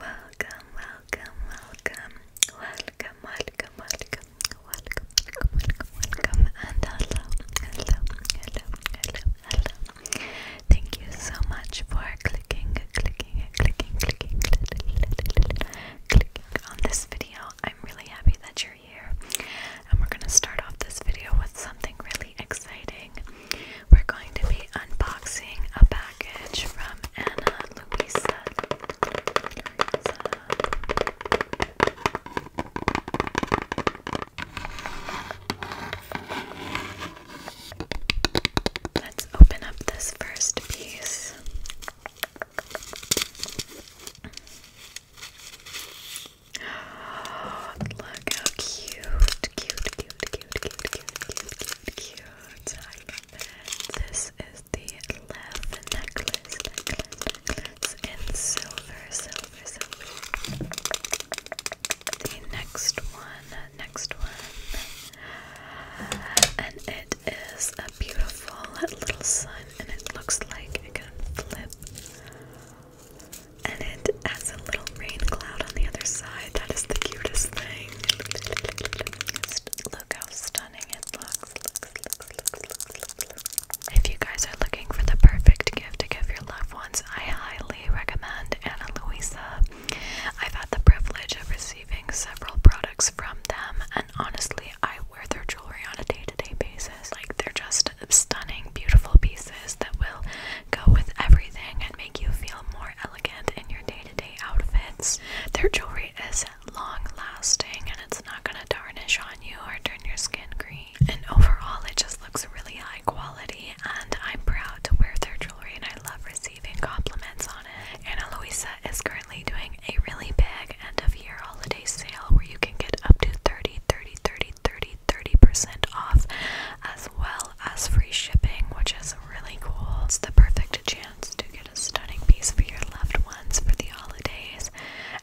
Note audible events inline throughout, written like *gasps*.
Welcome, welcome, welcome, welcome, welcome, welcome, welcome, welcome, welcome, and hello, hello, hello, hello, hello. Thank you so much for clicking, clicking, clicking, clicking, clicking on this video. I'm really happy that you're here, and we're gonna start off this video with something really exciting we're going to be unboxing a package from Anna Luisa. Let's open up this first piece. *gasps* Look how cute, cute, cute, cute, cute, cute, cute, cute, this is the left necklace, necklace, in silver, silver, silver. The next one, next one, and it is a beautiful little sun, and it looks like it can flip. And it has a little rain cloud on the other side. That is the cutest thing. If you guys are looking for the perfect gift to give your loved ones, I highly recommend Ana Luisa. I've had the privilege of receiving several products from them, and honestly, I wear their jewelry on a day to day basis. Like, they're just stunning, beautiful pieces that will go with everything and make you feel more elegant in your day to day outfits. Their jewelry is long lasting and it's not going to tarnish on you or turn your skin green. And overall, it just looks really high quality, and I'm proud to wear their jewelry and I love receiving compliments on it. Ana Luisa is currently doing a really big end of year holiday sale where you can get up to 30, 30% off as well as free shipping, which is really cool. It's the perfect chance to get a stunning piece for your loved ones for the holidays,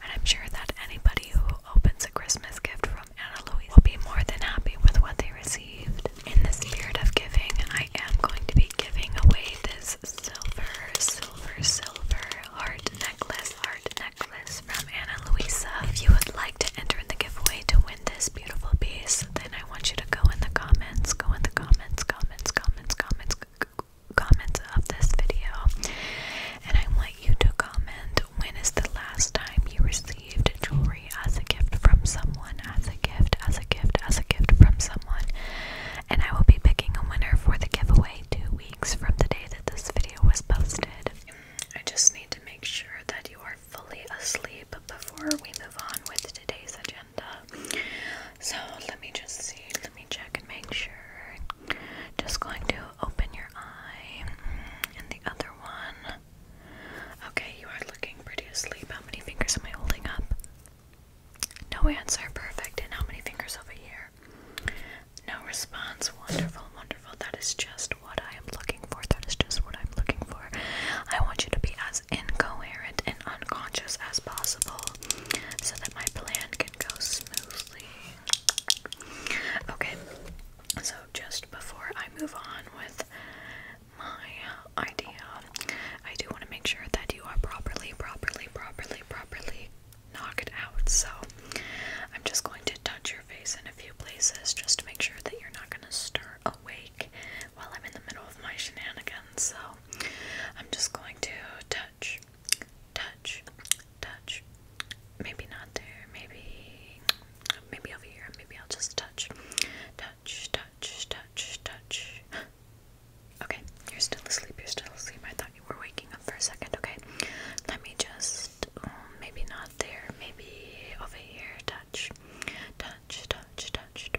and I'm sure that anybody who opens a Christmas gift from Anna Louise will be more than happy with what they received. In the spirit of giving, I am going to be giving away this silver, silver, silver heart necklace, heart necklace from Anna Louisa. If you would like to enter in the giveaway to win win this beautiful piece, then I want you to go in the comments, go in the comments, comments, comments, comments, comments of this video, and I want you to comment when is the last time you received jewelry as a gift from someone, as a gift, as a gift, as a gift from someone, and I will be picking a winner for the giveaway two weeks from the day that this video was posted. I just need to make sure that you are fully asleep before we move on with today's agenda. So let me just see, let me check and make sure. Just going to open your eye mm, and the other one. Okay, you are looking pretty asleep. How many fingers am I holding up? No answer. Perfect. And how many fingers over here? No response. Wonderful, wonderful. That is just what I am looking for. That is just what I'm looking for. I want you to be as incoherent and unconscious as possible so that my plan can go smoothly. Okay, so just before I move on with my idea, I do want to make sure that you are properly, properly, properly, properly knock it out. So I'm just going to touch your face in a few places just to make sure that you're not going to stir awake while I'm in the middle of my shenanigans. So I'm just going to touch, touch, touch. Maybe not there. Maybe, maybe over here. Maybe I'll just touch, touch, touch, touch, touch. *gasps* Okay, you're still asleep. You're still asleep. I thought you were waking up for a second. Okay, let me just maybe not there, maybe over here. Touch, touch, touch, touch.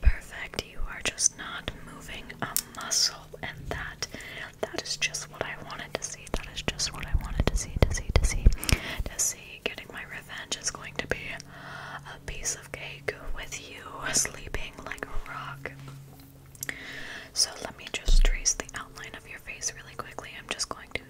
Perfect. You are just not moving a muscle, and that—that is just what I wanted to see see. That is just what I wanted to see, to see, to see, to see. Getting my revenge is going to be a piece of cake with you sleeping like a rock. So let me just trace the outline of your face really quickly. I'm just going to.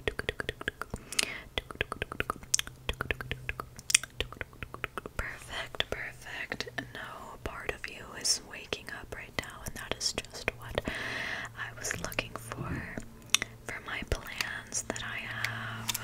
Perfect, perfect. No part of you is waking up right now, and that is just what I was looking for for my plans that I have.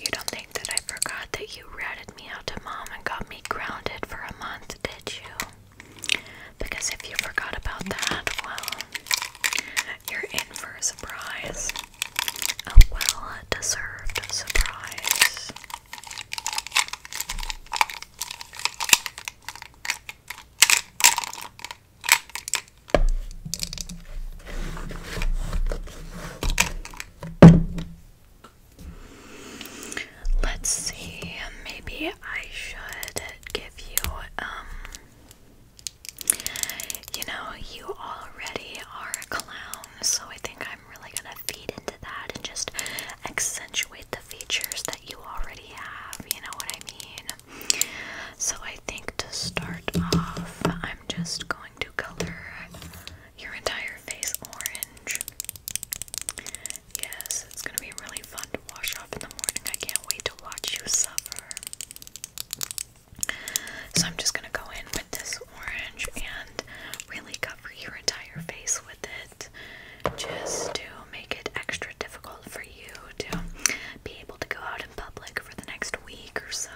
You don't think that I forgot that you ratted me out to mom and got me grounded for a month, did you? Because if you forgot about that, well, you're in for a surprise. A well deserved surprise. Let's see, maybe I should give you, um, you know, you already are a clown, so I think I'm really gonna feed into that and just accentuate the features that you already have, you know what I mean? So I think to start off, I'm just going to color your entire face orange. Yes, it's going to be really fun to wash off in the morning. I can't wait to watch you suffer. So I'm just going to go in with this orange and really cover your entire face with it just to make it extra difficult for you to be able to go out public for the next week or so.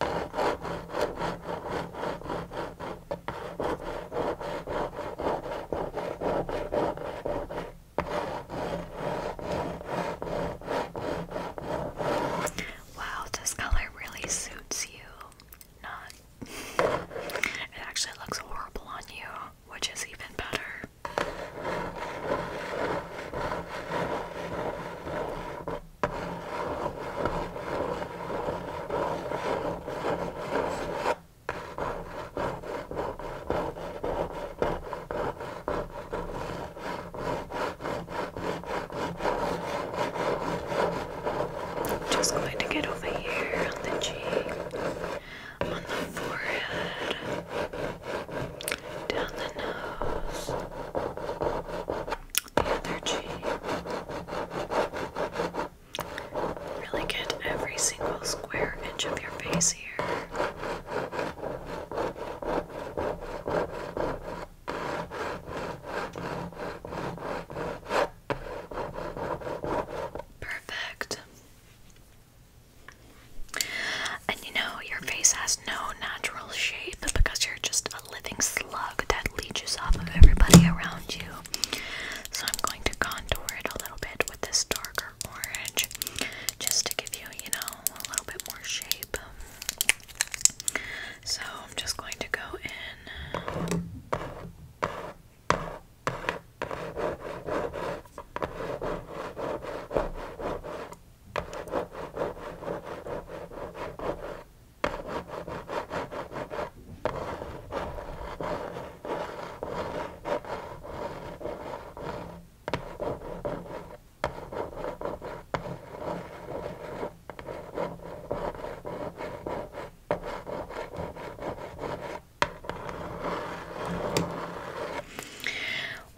Wow, this color really suits you. Not. It actually looks horrible on you, which is even better. I'm just going to get over here on the cheek, on the forehead, down the nose, the other cheek. Really get every single square inch of your face here. Perfect. And you know, your face no natural shape because you're just a living slug that leeches off of everybody around you. So I'm going to contour it a little bit with this darker orange just to give you, you know, a little bit more shape. So I'm just going to go in.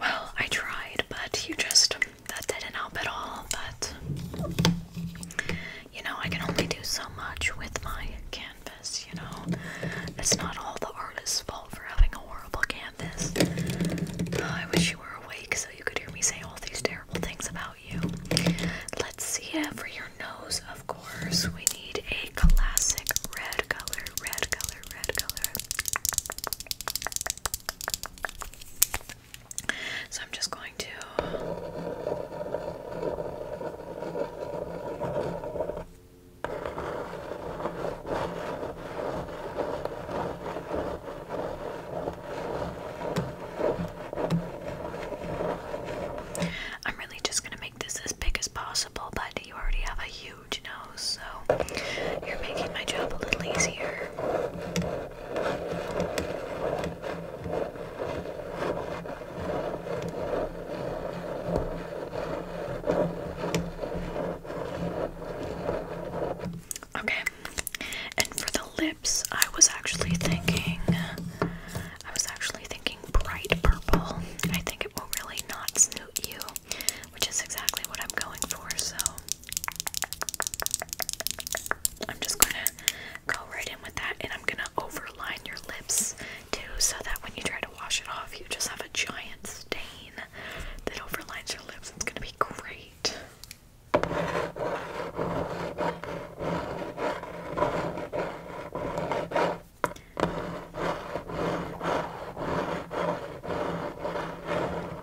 Well, I tried, but you just that didn't help at all, but you know, I can only do so much with my canvas, you know. It's not all the artist's fault for having a horrible canvas. I wish you were awake so you could hear me say all these terrible things about you. Let's see it uh, for your nose, of course. We need a classic red color, red color, red color. So I'm just going to I'm really just going to make this as big as possible, but you already have a huge nose, so you're making my job a little easier. Okay, and for the lips, I was actually thinking, I was actually thinking bright purple. I think it will really not suit you, which is exactly what I'm going for. So I'm just gonna go right in with that and I'm gonna overline your lips too so that when you try to wash it off you just have a giant stain that overlines your lips. It's gonna be great.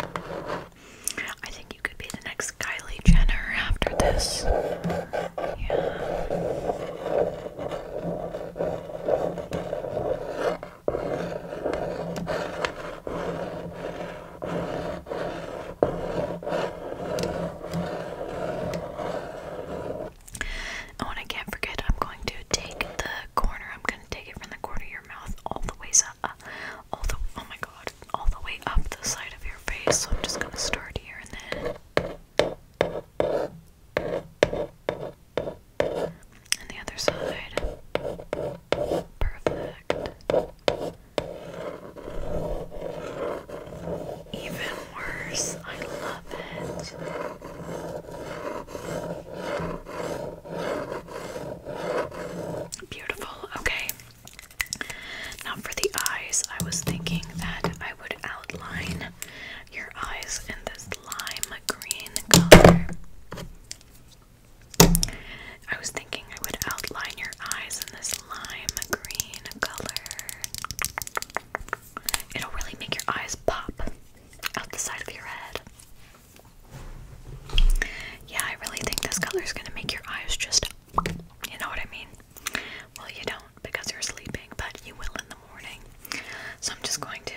I think you could be the next Kylie Jenner after this. Yeah. Oh, and I can't forget, I'm going to take the corner, I'm going to take it from the corner of your mouth all the way so all the oh my god, all the way up the side of your face. So I'm just gonna start here and then. And the other side. Perfect. Even worse. I love it. Beautiful. Okay. Now for the eyes, I was thinking that I would outline your eyes in this lime green color. I was thinking I would outline your eyes in this lime green color. It'll really make your eyes pop out the side of your head. Yeah, I really think this color is going to make your eyes just, you know what I mean? Well, you don't because you're sleeping, but you will in the morning. So I'm just going to.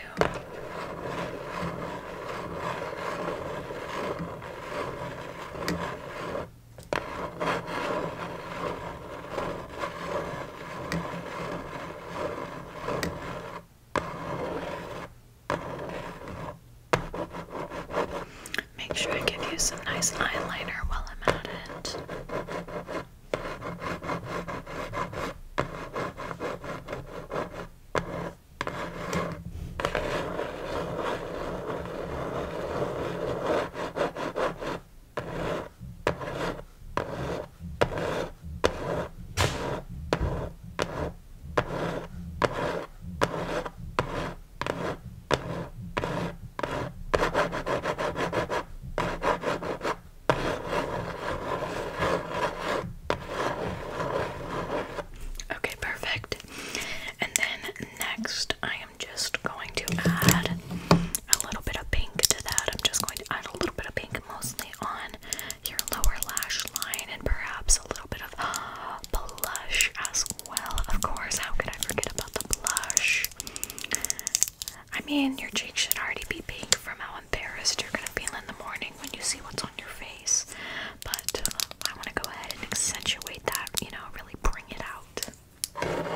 Make sure I give you some nice eyeliner while I'm at it. Okay, perfect. And then next, I am just going to add a little bit of pink to that. I'm just going to add a little bit of pink mostly on your lower lash line and perhaps a little bit of *gasps* blush as well. Of course, how could I forget about the blush? I mean, your cheeks should already be pink from how embarrassed you're gonna feel in the morning when you see what's on your face. But uh, I want to go ahead and accentuate that, you know, really bring it out.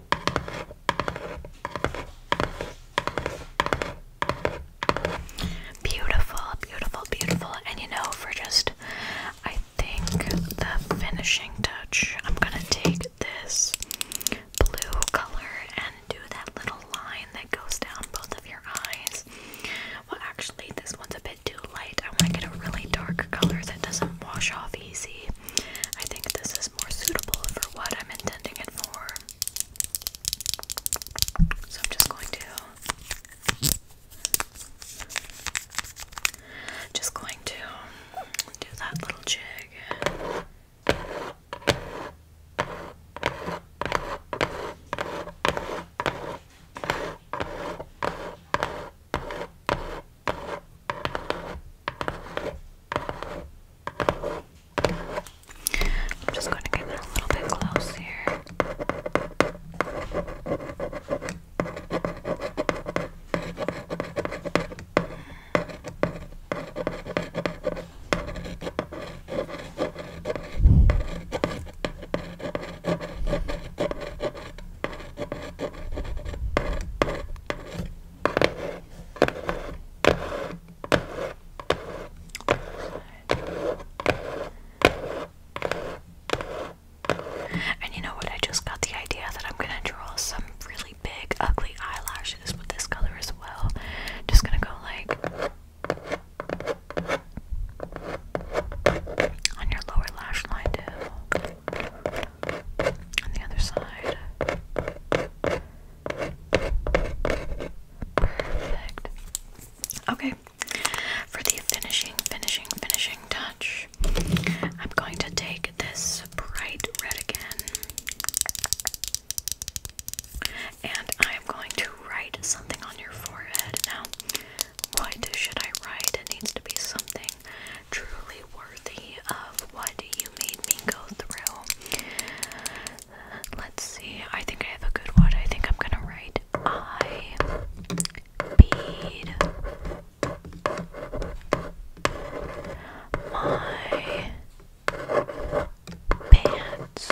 Beautiful, beautiful, beautiful. And you know, for just, I think, the finishing touch, I'm gonna take this blue color and do that little line that goes down both of your eyes. Well, actually, this one's a bit too light. I want to get a really dark color that doesn't wash off easy. I think this is more suitable for what I'm intending it for. So I'm just going to just going to do that little jig. I'm just going to get it a little bit close here. And you know what? I just got the idea that I'm gonna draw some really big, ugly eyelashes with this color as well. Just gonna go like on your lower lash line, too. On the other side. Perfect. Okay. For the finishing, finishing, finishing touch, I'm going to take this bright red again. And I am going to write something on your forehead. Now, what should I write? It needs to be something truly worthy of what you made me go through. Let's see. I think I have a good one. I think I'm gonna write I bead my pants.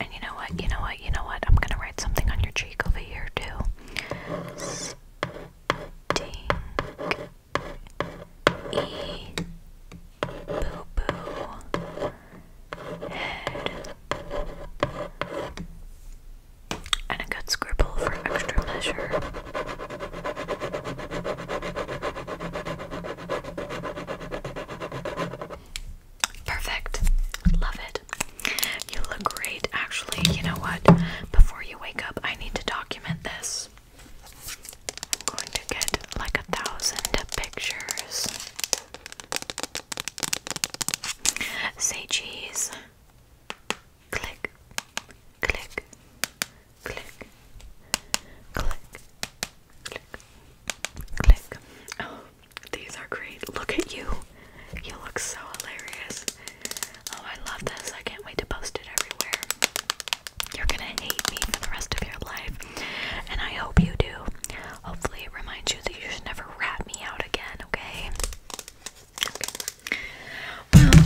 And you know what? You know what? You know what? I'm gonna write something on your cheek over here too. Stink. Boo boo. Head. And a good scribble for extra measure. Perfect. Love it. You look great. Actually, you know what? Before you wake up, I need to document this. I'm going to get like a thousand pictures. Say cheese. Click, click, click, click, click, click. Oh. These are great. Look at you. You look so hilarious. Oh, I love this. I can't wait to post it everywhere. You're gonna hate me for the rest of your life. And I hope you do. Hopefully, it reminds you that you should never rat me out again, okay? Okay. Well,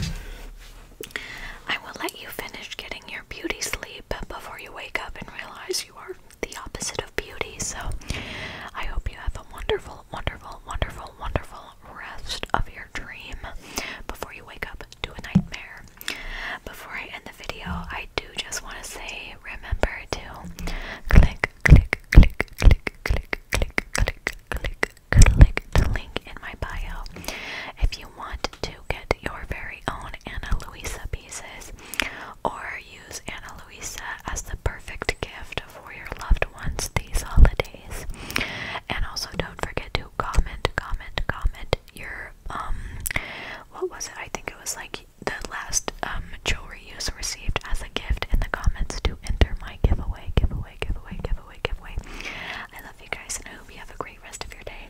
I will let you finish getting your beauty sleep before you wake up and realize because you are the opposite of beauty. So I hope you have a wonderful, wonderful, wonderful, wonderful rest of your dream before you wake up to a nightmare. Before I end the video, I do just want to say remember to click, click, click, click, click, click, click, click, click the link in my bio if you want to get your very own Anna Luisa pieces or use Ana Luisa as the perfect gift for your loved ones these holidays. And also don't forget to comment, comment, comment your um what was it? I think it was like the last um, jewelry you received as a gift in the comments to enter my giveaway, giveaway, giveaway, giveaway, giveaway. I love you guys and I hope you have a great rest of your day.